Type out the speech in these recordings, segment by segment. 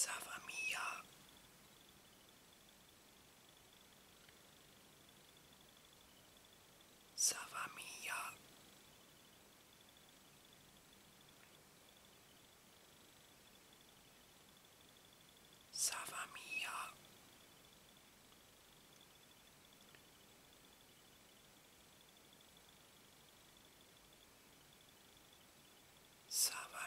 Savamia. Savamia. Savamia. Sama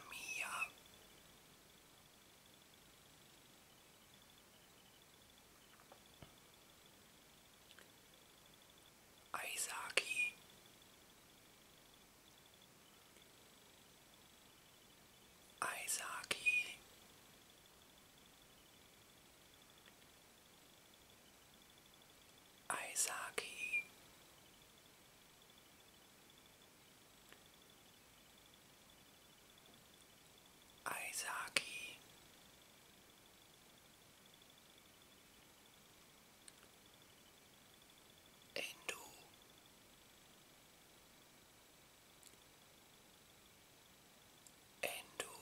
Aizaki. Aizaki. Aizaki Aizaki Endo Endo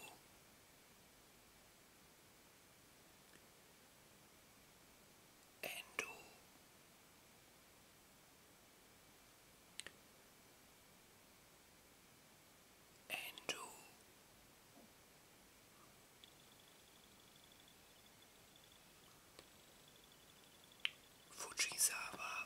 and do Fujisawa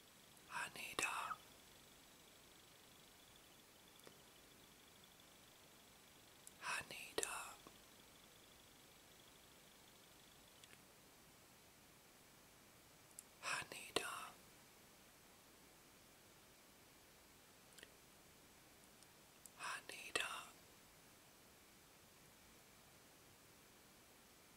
Anita. Anita. Anita. Anita.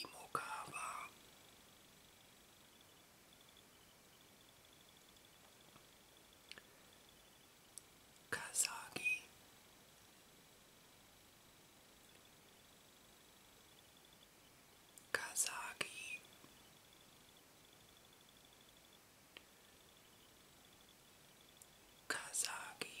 Imokawa. Kazagi Kazagi Kazagi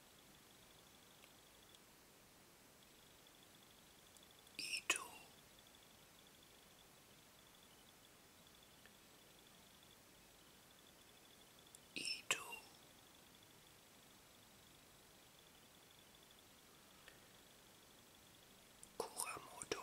E2 Kuramoto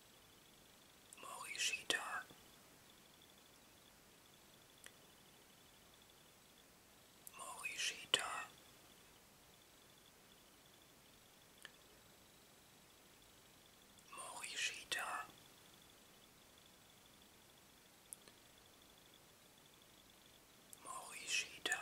Morishita. Morishita. Morishita. Morishita.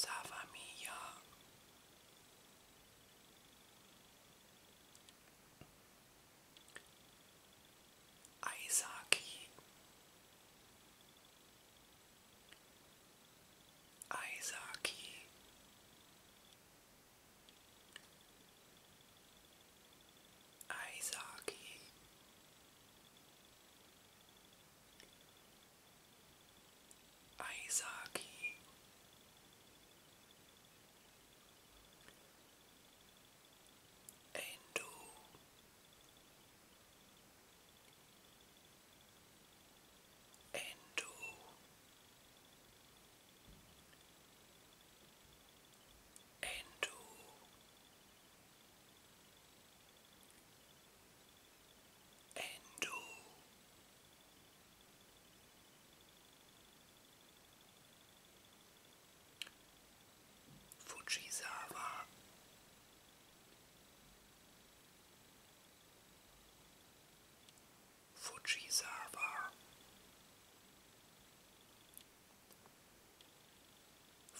sa Aizaki Aizaki Aizaki Aizaki Endo Endo Endo and Fujisawa Fujisawa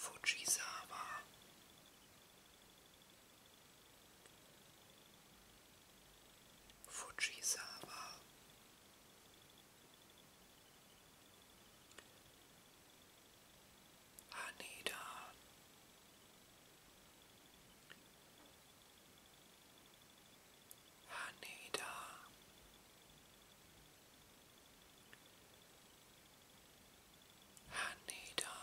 Fujisawa Fujisawa Haneda Haneda Hanida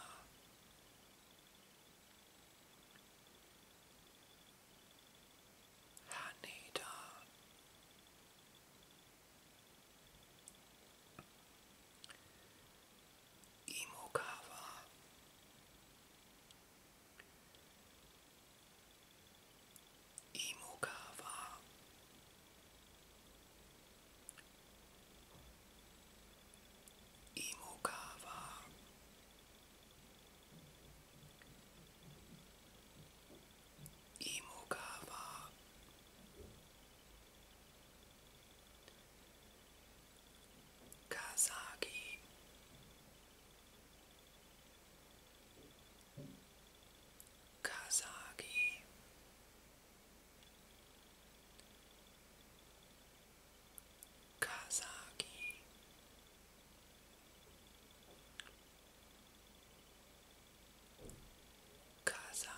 Hanida Imokawa Imokawa Imokawa Imokawa Kazaki Kazagi Kazagi Kazaki